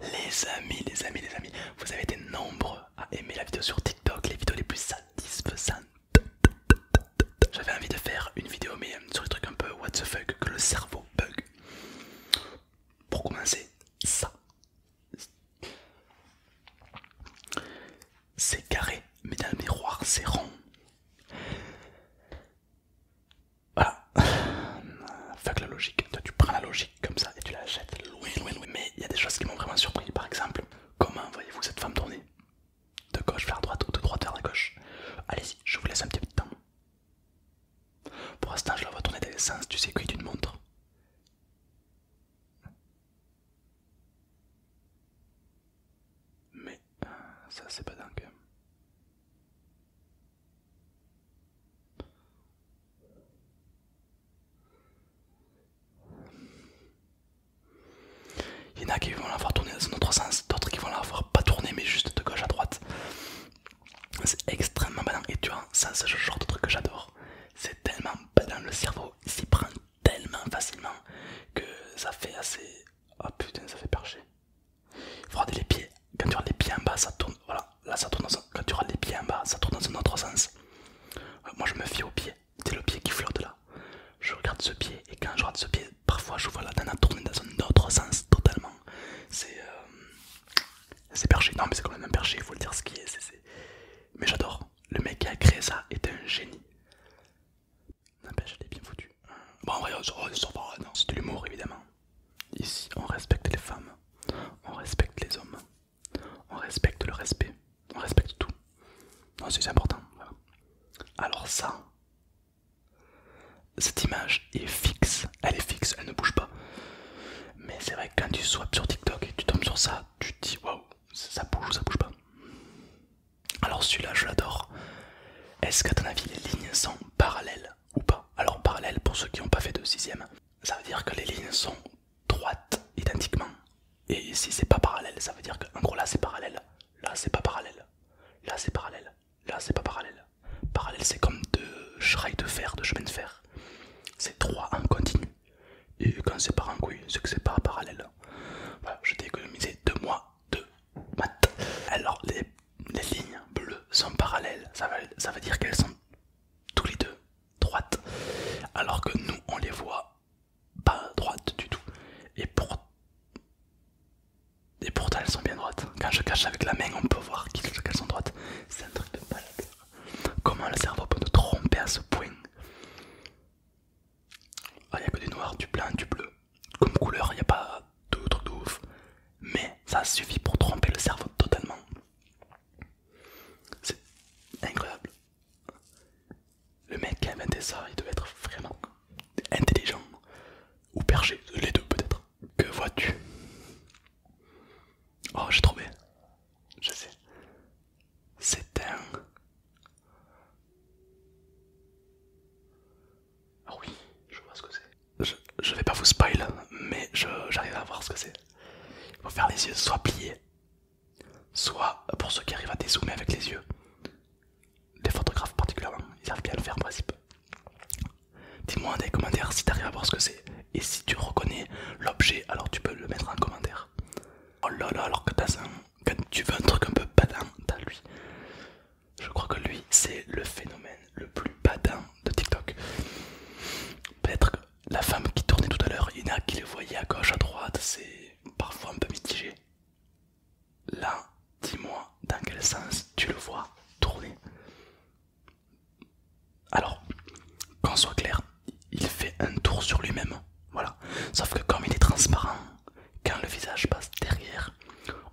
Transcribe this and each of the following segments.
Les amis, les amis, les amis, vous avez été nombreux à aimer la vidéo sur TikTok, les vidéos les plus satisfaisantes. J'avais envie de faire une vidéo mais euh, sur le truc un peu what the fuck, que le cerveau bug. Pour commencer, ça. C'est carré, mais dans le miroir c'est rond. Voilà. Fuck la logique. Toi, tu prends la logique comme ça et tu la jettes loin, loin, Mais il y a des choses qui m'ont vraiment surpris. Par exemple, comment voyez-vous cette femme tourner De gauche vers droite ou de droite vers la gauche Allez-y, je vous laisse un petit peu de temps. Pour l'instant, je la vois tourner dans les sens du circuit d'une montre. Mais euh, ça, c'est pas dingue. Il y en a qui vont la voir tourner dans un autre sens, d'autres qui vont la voir pas tourner mais juste de gauche à droite. C'est extrêmement badass. et tu vois, ça c'est le genre de truc que j'adore. C'est tellement dans le cerveau s'y prend tellement facilement que ça fait assez... Ah oh, putain, ça fait perché il faut les pieds, quand tu as les pieds en bas, ça tourne. Voilà, là ça tourne Quand tu as les pieds en bas, ça tourne dans un autre sens. Euh, moi je me fie au pied, c'est le pied qui flotte là. Je regarde ce pied et quand je regarde ce pied, parfois je vois la dana tourner dans un autre sens totalement. C'est euh, c'est perché, non mais c'est quand même un perché, il faut le dire ce qui est. Mais j'adore, le mec qui a créé ça est un génie. N'empêche, je est bien foutu. Bon, en vrai, c'est de l'humour évidemment. Ici, on respecte les femmes, on respecte les hommes, on respecte le respect, on respecte tout. c'est important. Alors ça, cette image est fixe, elle est fixe, elle ne bouge pas. Mais c'est vrai que quand tu swipes sur TikTok et tu tombes sur ça, tu te dis waouh, ça bouge ou ça bouge pas. Alors celui-là, je l'adore. Est-ce qu'à ton avis, les lignes sont parallèles ou pas. Alors parallèle, pour ceux qui n'ont pas fait de sixième, ça veut dire que les lignes sont droites identiquement. Et si c'est pas parallèle, ça veut dire que en gros là c'est parallèle, là c'est pas parallèle, là c'est parallèle, là c'est pas parallèle. Parallèle c'est comme deux rails de fer, de chemin de fer. C'est trois en continu. Et quand c'est pas en couille, c'est que c'est pas parallèle. Voilà, je t'ai économisé deux mois de alors les, lignes bleues sont parallèles, ça veut, dire qu'elles sont tous les deux droites, alors que nous on les voit pas droites du tout. Et pour pourtant elles sont bien droites. Quand je cache avec la main, on peut voir qu'elles sont droites. C'est un truc de malade. Comment le cerveau peut nous tromper à ce point ah, il n'y a que du noir, du blanc, du bleu comme couleur, il n'y a pas de truc de ouf, mais ça suffit pour tromper le cerveau totalement. C'est incroyable. Le mec qui a inventé ça, il devait être vraiment intelligent ou perché, les deux peut-être. Que vois-tu Oh, j'ai trouvé. Je sais. C'est un. Ah oui, je vois ce que c'est. Je, vais pas vous spoil, mais j'arrive à voir ce que c'est. Il faut faire les yeux soit pliés, soit pour ceux qui arrivent à dézoomer avec les yeux. Les photographes particulièrement, ils savent bien le faire en principe. Dis-moi en commentaire commentaires si arrives à voir ce que c'est. Et si tu reconnais l'objet, alors tu peux le mettre en commentaire. Oh là là, alors que t'as un quand tu veux un truc un peu badant, t'as lui. Je crois que lui, c'est le phénomène le plus badant de TikTok. Peut-être que la femme qui tournait tout à l'heure, il y en a qui le voyait à gauche, à droite, c'est parfois un peu mitigé. Là, dis-moi dans quel sens tu le vois tourner. Alors, qu'on soit clair, il fait un tour sur lui-même. Voilà. Sauf que comme il est transparent, quand le visage passe derrière,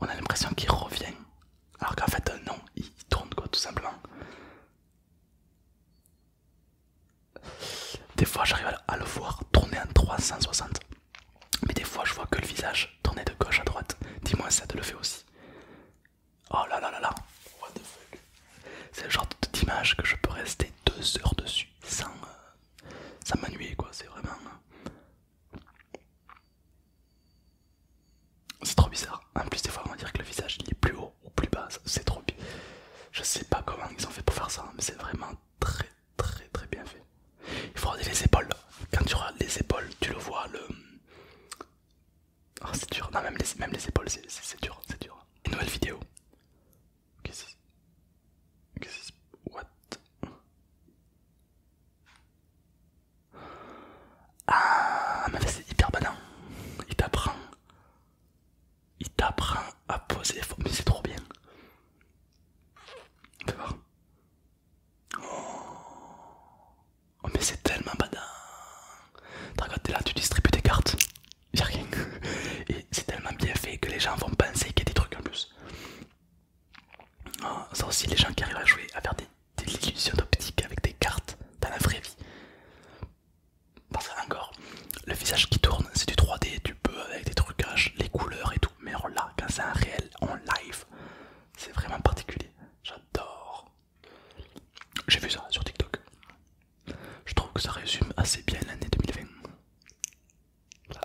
on a l'impression qu'il revient. Alors qu'en fait, euh, non, il tourne quoi, tout simplement. Des fois, j'arrive à le voir tourner en 360. Mais des fois, je vois que le visage tourner de gauche à droite. Dis-moi, si ça te le fait aussi. Oh là là là là. What the fuck. C'est le genre d'image que je peux rester deux heures dessus sans, euh, ça m'ennuyait quoi, c'est vraiment... Euh, c'est trop bizarre. En plus des fois on va dire que le visage il est plus haut ou plus bas, c'est trop Je sais pas comment ils ont fait pour faire ça, mais c'est vraiment très très très bien fait. Il faut les épaules. Quand tu regardes les épaules, tu le vois le... Ah, c'est dur, même les, même les épaules c'est dur, c'est dur. Une nouvelle vidéo Qu'est-ce que c'est Qu'est-ce que c'est What Ah, mais c'est hyper banan Il t'apprend. Il t'apprend à poser Mais c'est trop bien. On va voir. Oh, mais c'est tellement badin. T'as regardé là, tu distribues tes cartes. Y'a rien. Et c'est tellement bien fait que les gens vont penser qu'il y a des trucs plus. Ah, ça aussi, les gens qui arrivent à jouer, à faire des, illusions d'optique avec des cartes dans la vraie vie. Parce que, encore, le visage qui tourne, c'est du 3D, du peux avec des trucages, les couleurs et tout. Mais là quand c'est un réel, en live. C'est vraiment particulier. J'adore. J'ai vu ça sur TikTok. Je trouve que ça résume assez bien l'année 2020. Il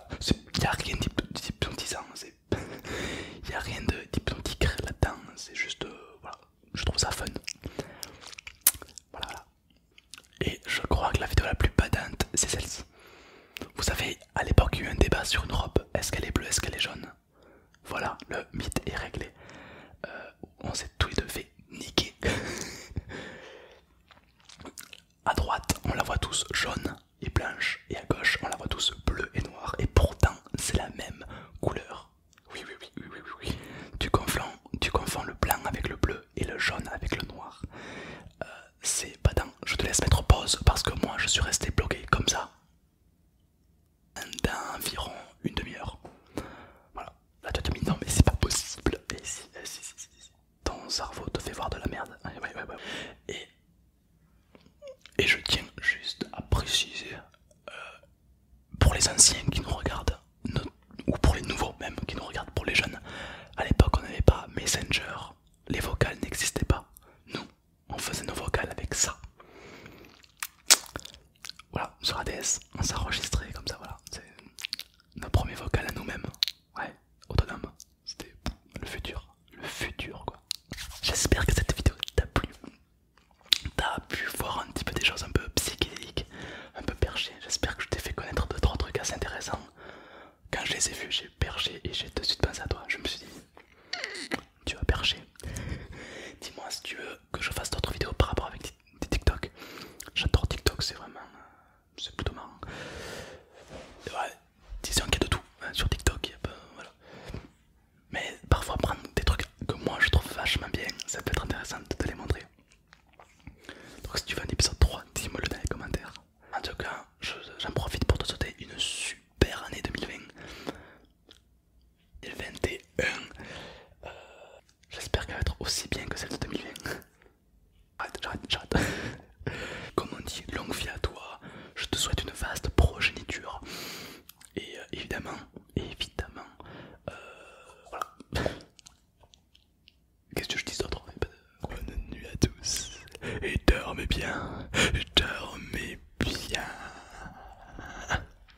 n'y a rien d'hypnotisant, il n'y a rien d'hypnotique là-dedans, c'est juste. Euh, voilà, je trouve ça fun. Voilà, Et je crois que la vidéo la plus badante, c'est celle-ci. Vous savez, à l'époque, il y a eu un débat sur une robe est-ce qu'elle est bleue, est-ce qu'elle est jaune Voilà, le mythe est réglé. Euh, on s'est tous les deux fait niquer. À droite, on la voit tous jaune et blanche, et à gauche, on la voit tous bleu et noir et pourtant, c'est la même couleur. Oui, oui, oui, oui, oui, oui. Tu confonds, tu confonds le blanc avec le bleu et le jaune avec le noir. Euh, c'est pas tant, Je te laisse mettre pause parce que moi, je suis resté bloqué comme ça environ une demi-heure. Voilà. Là tu as dit non mais c'est pas possible. Et ton cerveau te fait voir de la merde. Et, je tiens juste à préciser euh, pour les anciens qui nous regardent, ou pour les nouveaux même qui nous regardent, pour les jeunes, à l'époque on n'avait pas Messenger, les vocales n'existaient pas. Nous, on faisait nos vocales avec ça. Voilà, sur ADS, on s'enregistrait comme ça, voilà. Nos premiers vocal à nous-mêmes. Ouais, autonome. C'était le futur. Le futur quoi. J'espère que cette vidéo t'a plu. T'as pu voir un petit peu des choses un peu psychédéliques, un peu perchées. J'espère que je t'ai fait connaître 2 trois trucs assez intéressants. Quand je les ai vus, j'ai perché et j'ai tout de suite pensé à toi. Je me suis dit, tu vas percher. Dis-moi si tu veux que je fasse d'autres vidéos par rapport avec des TikTok. J'adore TikTok, c'est vraiment. Euh, c'est plutôt marrant. disons qu'il de tout hein, sur TikTok. Mais parfois, prendre des trucs que moi je trouve vachement bien, ça peut être intéressant de les montrer. Donc, si tu veux un épisode 3, dis-moi le dans les commentaires. En tout cas, j'en profite pour te souhaiter une super année 2020. 2021. J'espère qu'elle va être aussi bien que celle de 2020. Arrête, j'arrête, j'arrête. Comme on dit, longue vie à toi. Je te souhaite une vaste progéniture. Et euh, évidemment, évidemment, euh, voilà. Qu'est-ce que je dis d'autre eh ben, Bonne nuit à tous. Et dormez bien. Dormez bien.